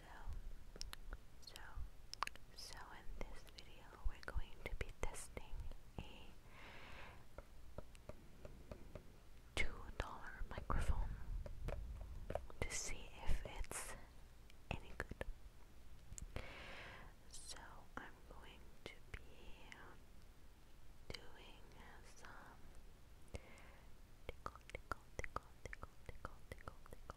So, so, so in this video we're going to be testing a $2 microphone to see if it's any good. So I'm going to be doing some tickle, tickle, tickle, tickle, tickle, tickle, tickle,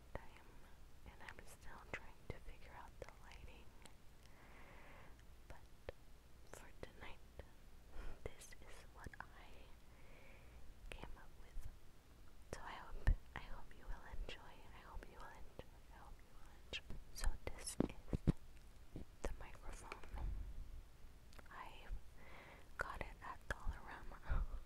nighttime, and I'm still trying to figure out the lighting. But for tonight, this is what I came up with. So I hope I hope you will enjoy. I hope you will enjoy. I hope So this is the microphone. I got it at Dollarama.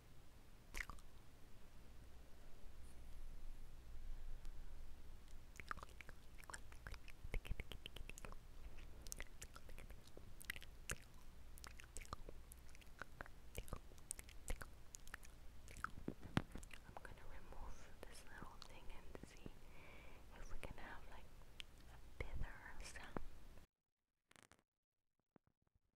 I'm gonna remove this little thing and see if we can have like a better sound.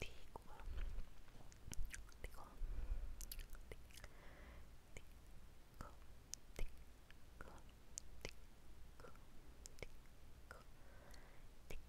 Tigua, Tico, Tico, Tico, Tico, Tico, Tico,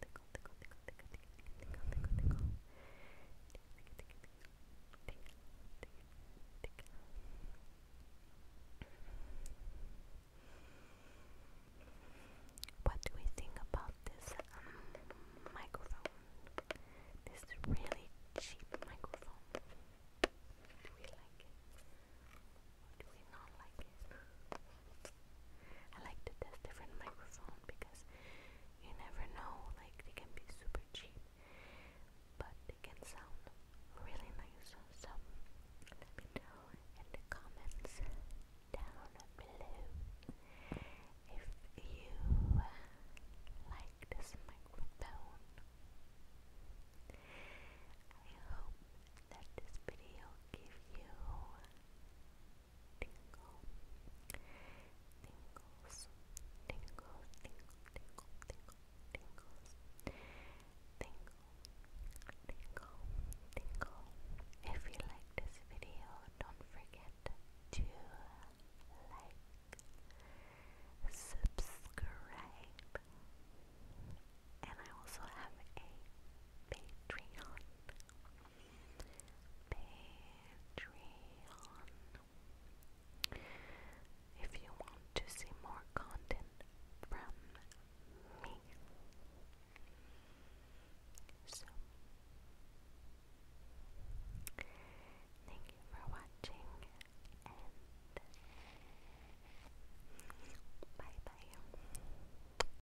tickle, tickle, What do we think about this um, microphone? This really cheap microphone. Do we like it? do we not like it? I like to test different microphone because you never know, like they can be super cheap, but they can sound really nice. So let me know in the comments down below if you like this microphone. I hope that this video gave you tingle, tingles, tingle, tingle, tingle, tingle, tingles, tingle, tingle, tingle. If you like this video, don't forget to like, subscribe, and I also have a Patreon. Patreon. If you want to see more content from me. thank you for watching and bye bye.